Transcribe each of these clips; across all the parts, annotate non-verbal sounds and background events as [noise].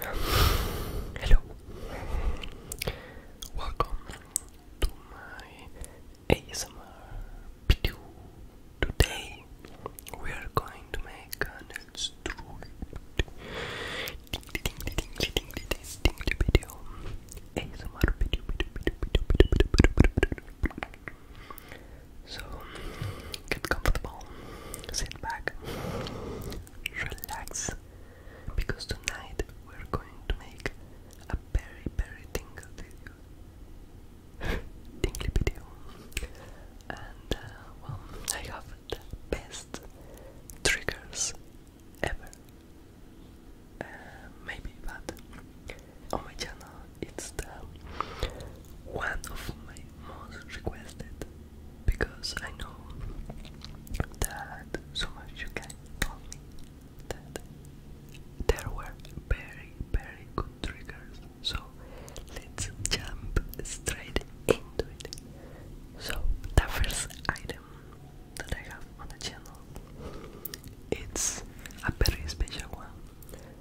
Hello. Welcome to my ASMR video. Today we are going to make an extrude video. ASMR video, video, video, video, video, video. So get comfortable, sit back, relax because tonight we're going to make a very, very tingle video. [laughs] Tingly video. And, uh, well, I have the best triggers ever. Uh, maybe, but on my channel it's the one of my most requested because I know that so much you can tell me that there were very, very good triggers. So let's jump straight into it. So the first item that I have on the channel, it's a very special one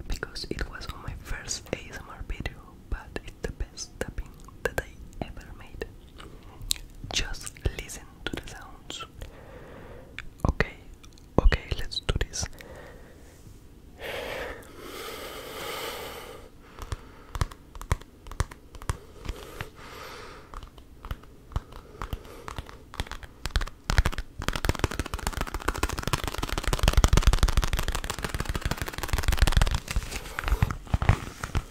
because it was on my first ASMR video, but it's the best tapping that I ever made. Just listen to the sounds. Okay, okay, let's do this.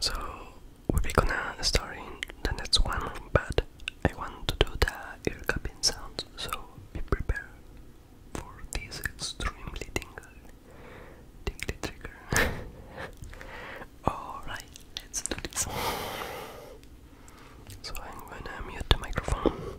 So we are gonna start in the next one, but I want to do the ear cupping sound, so be prepared for this extremely tingle, tingly trigger. [laughs] Alright, let's do this. So I'm gonna mute the microphone.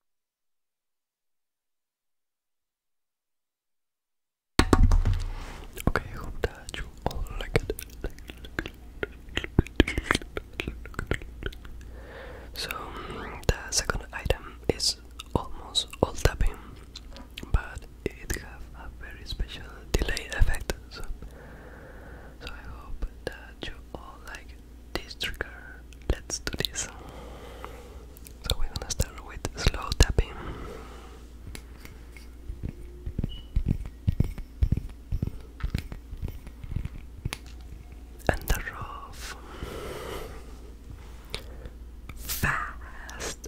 Okay, hope that you all like it. So, the second item is almost all tapping, but it have a very special delay effect. So, so I hope that you all like this trigger. Let's do this. So we're gonna start with slow tapping. And the rough. Fast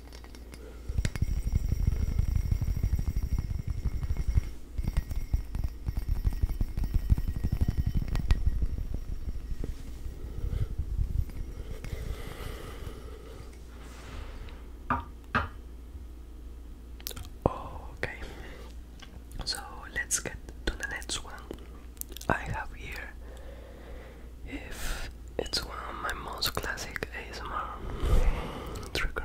Okay, so let's get to the next one. I have here if it's one of my most classic ASMR trigger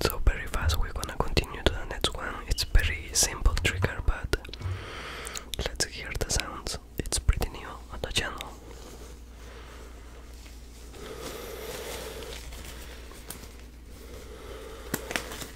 So very fast we're gonna continue to the next one. It's very simple trigger but let's hear the sounds. It's pretty new on the channel.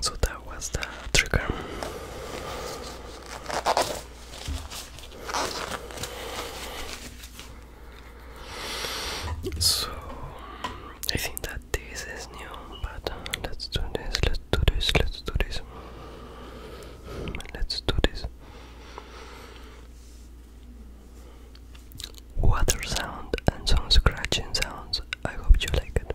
So that was the trigger. So I think that this is new, but let's do this, let's do this, let's do this. Let's do this. Water sound and some scratching sounds. I hope you like it.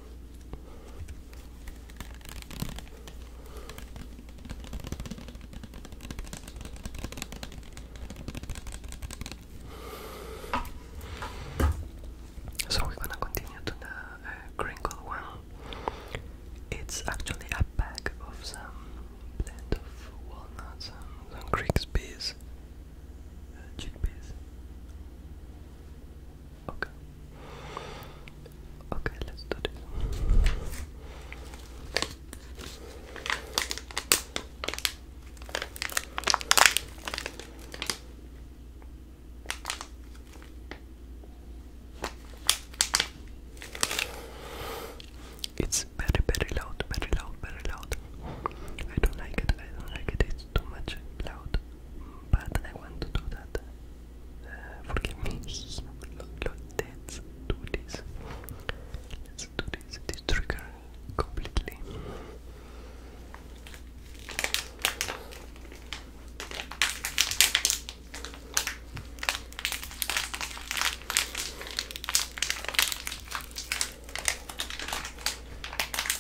So we're gonna continue to the uh, crinkle one. It's actually a pack of some blend of walnuts and some Greek uh, peas, Okay. Okay, let's do this. It's very, very loud, very loud, very loud. I don't like it, I don't like it, it's too much loud but I want to do that. forgive eh, me. Let's do this. Let's do this. This completely.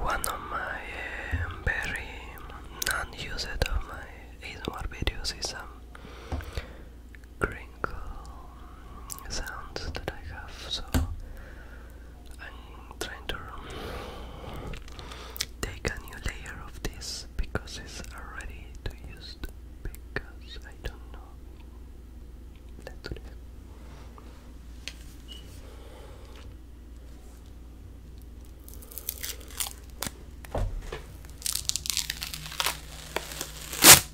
One of my um, very non-used of my ASMR videos is um, crinkle sounds that I have, so I'm trying to take a new layer of this because it's already too used because I don't know. Let's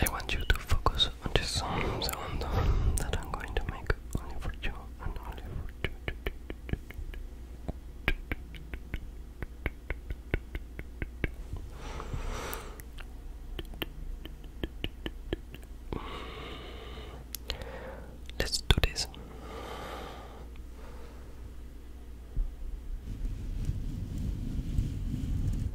I want you to focus on the sound that I'm going to make only for you and only for you. Let's do this.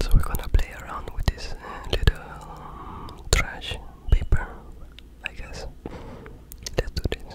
So we're gonna play around with this uh, little um, trash paper, I guess. Let's do this.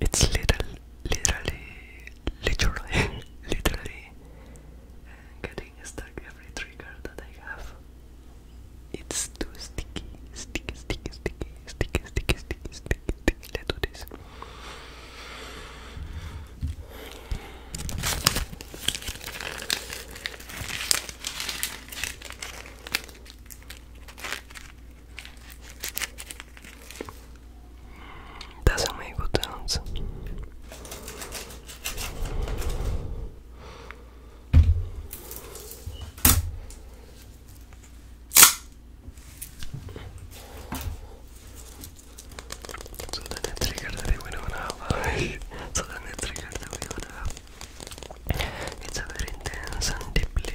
It's little, literally, literally, [laughs] literally uh, getting stuck every trigger that I have. It's too sticky, sticky, sticky, sticky, sticky, sticky, sticky, sticky. Let's do this. Doesn't make good sounds. So then the that we don't have. so then the that we don't have. It's a very intense and deeply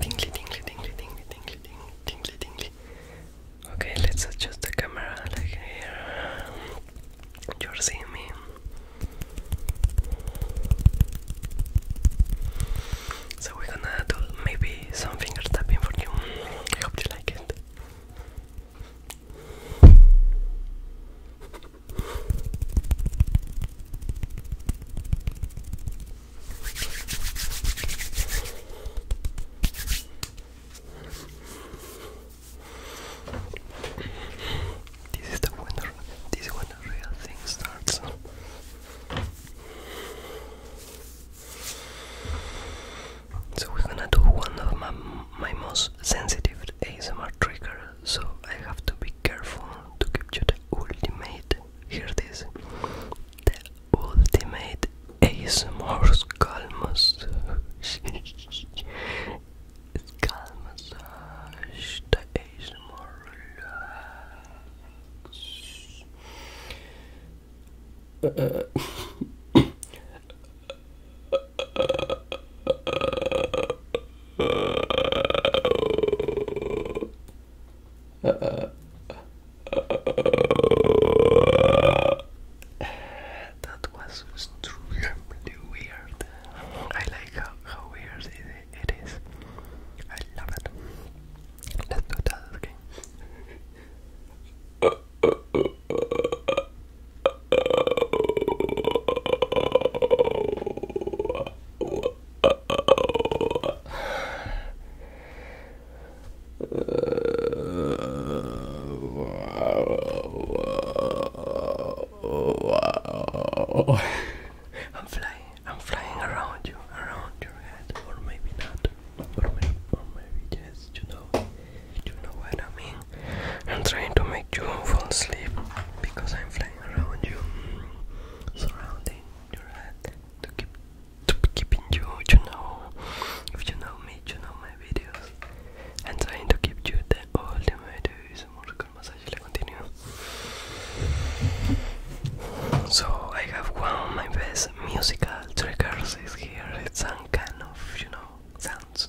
Tingly, tingly, tingly, tingly, tingly, tingly, tingly. Okay, let's adjust the camera like here. You're seeing me. So we're gonna do maybe some finger tapping for you. I hope you like it. This is the one. This is when the real thing starts. So we're gonna do one of my my most sensitive ASMR triggers. So I have to be careful to give you the ultimate here it is, the ultimate ASMR's calmos skull massage the ASMR relax [laughs] Uh, [laughs] uh, that was extremely weird. I like how, how weird it, it is. I love it. Let's do that again. [laughs] Uh, wow. I'm flying, I'm flying around you, around your head, or maybe not, or maybe, or you know, you know what I mean. I'm trying to make you fall asleep because I'm flying around you, surrounding your head to keep to keeping you you know if you know me you know my videos and trying to keep you there, all the my videos more con massage le continue so I have one of my best musical triggers is here it's some kind of you know sounds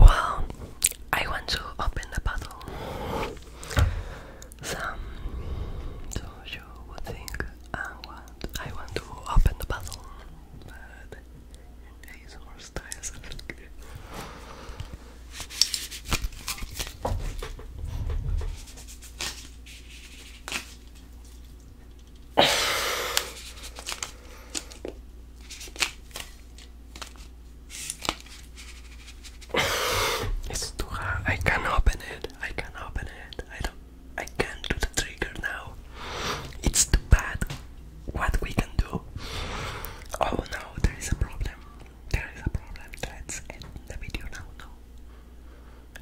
Well, I want to open the bottle. Some so you would think I want I want to open the bottle, but in ASMR styles it's too hard. I can not open it. I can not open it. I don't. I can't do the trigger now. It's too bad. What we can do? Oh no, there is a problem. There is a problem. Let's end the video now.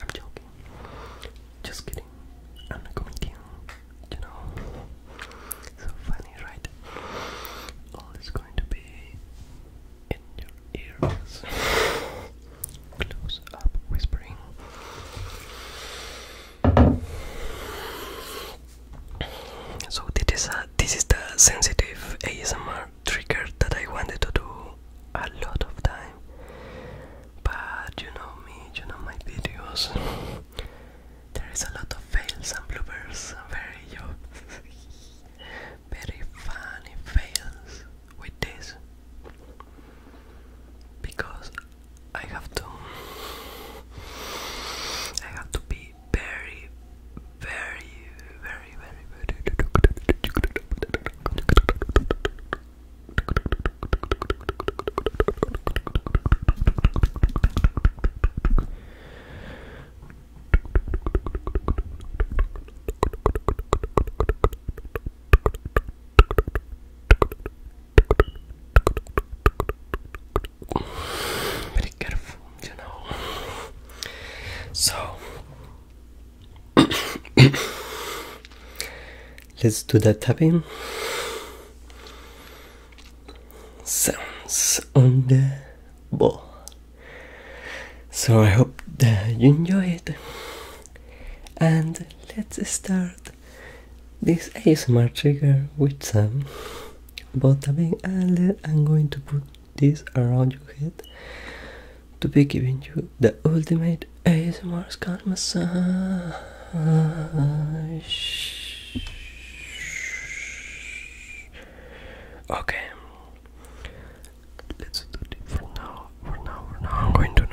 I'm joking. Just kidding. I'm a comedian, you know. So funny, right? All is going to be in your ears. Close up whispering. So this is this is the sensitive ASMR trigger that I wanted to do a lot of times time. But you know me, you know my videos. there is a lot of fails and bloopers. Very you very funny fails with this because I have to I have to be very very very very very very careful, you know. So [coughs] Let's do that tapping sounds on the ball. So I hope that you enjoy it, and let's start this ASMR trigger with some ball tapping. And I'm going to put this around your head to be giving you the ultimate ASMR scalp massage. Okay, let's do it for now. For now, for now, I'm going to do it.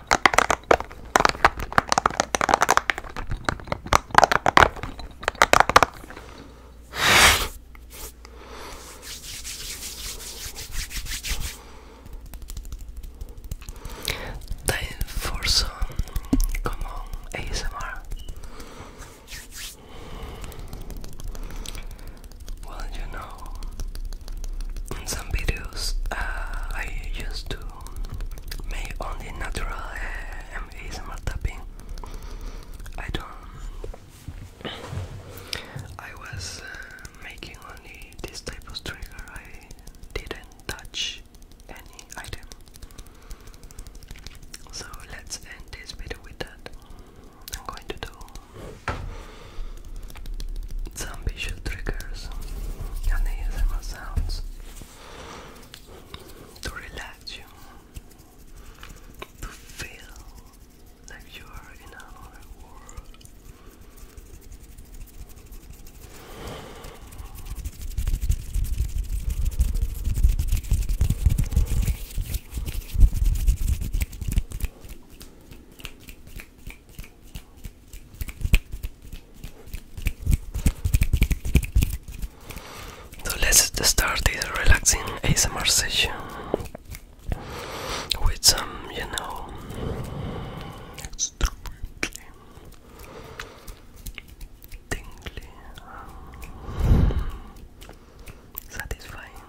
Time for some common ASMR. Well, you know, in some videos uh, I used to make only natural uh, ASMR tapping. I don't. I was uh, making only this type of trigger. I didn't touch any item. So let's end this video with that. I'm going to do some visual triggers and ASMR sounds to relax you, to feel like you are in another world. So let's start this relaxing ASMR session with some, you know, tingly, um, satisfying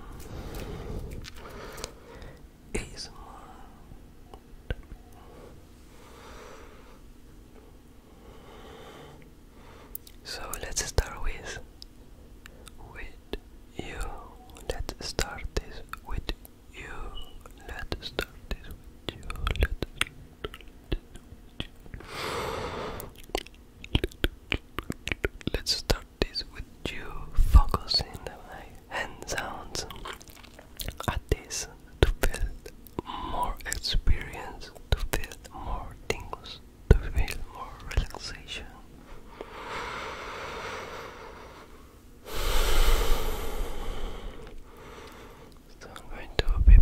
so let's start with with you. Let's start this with you. Let's start this with you. Let's start this with you. Focus in the mic. And sounds at this to feel more experience, to feel more things, to feel more relaxation. So I'm going to be you,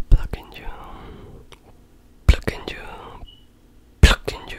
plucking you, plucking you,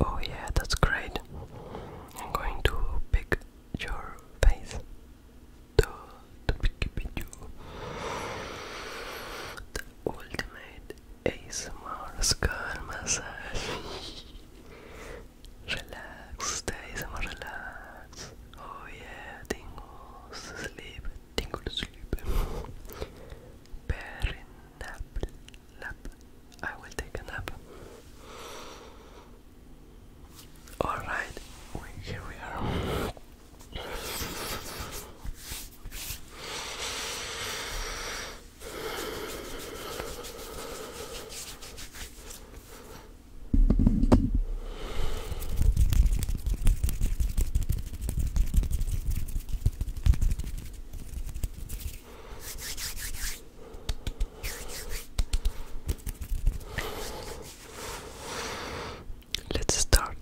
Oh, yeah, that's great. I'm going to pick your face. To, to pick you. The ultimate ASMR skull massage. [laughs] relax, the ASMR relax. Oh, yeah, tingle sleep, tingle sleep. Perinaple [laughs] nap. I will take a nap. Alright, here we are. Let's start.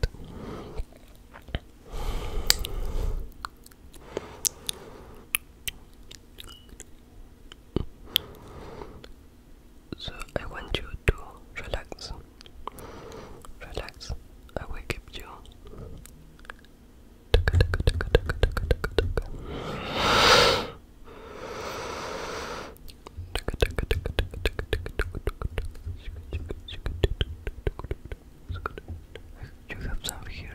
So I want you to relax. Relax. I will keep you you have some here.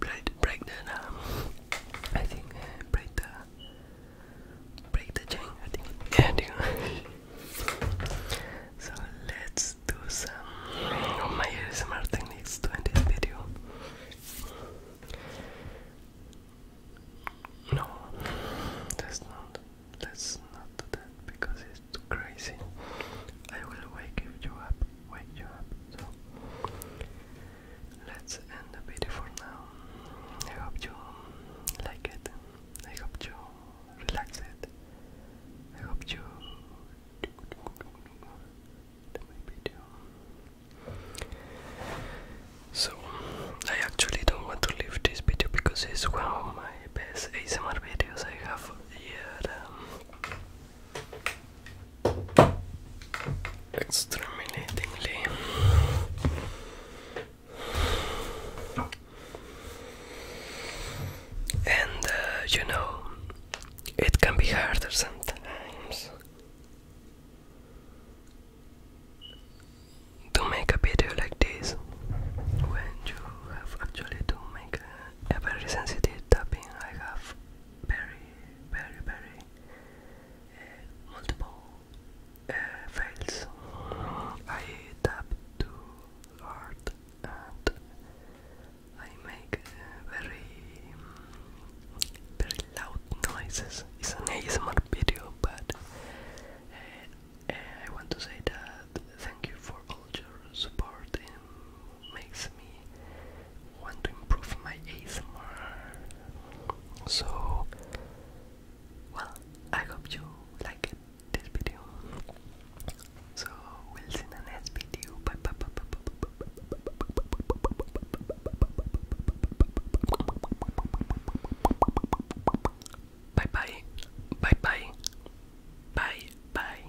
Break, break the, I think, break uh, the break the chain, I think. [laughs] so let's do some of oh my ASMR techniques to end this video. No, that's not. Let's not do that because it's crazy. I will wake you up, wake you up. So let's end the video for now. I hope you like it. I hope you relax it. I hope you my video. So I actually don't want to leave this video because it's one of my best ASMR videos I have yet. Extremely, And uh, you know, it can be harder sometimes to make a video like this when you have actually to make a, very sensitive tapping. I have very, very, very uh, multiple uh, I tap too hard and I make very, very loud noises. It's an ASMR video, but uh, uh, I want to say that thank you for all your support. It makes me want to improve my ASMR. So well, I hope you like this video. So we'll see in the next video. bye bye bye bye bye bye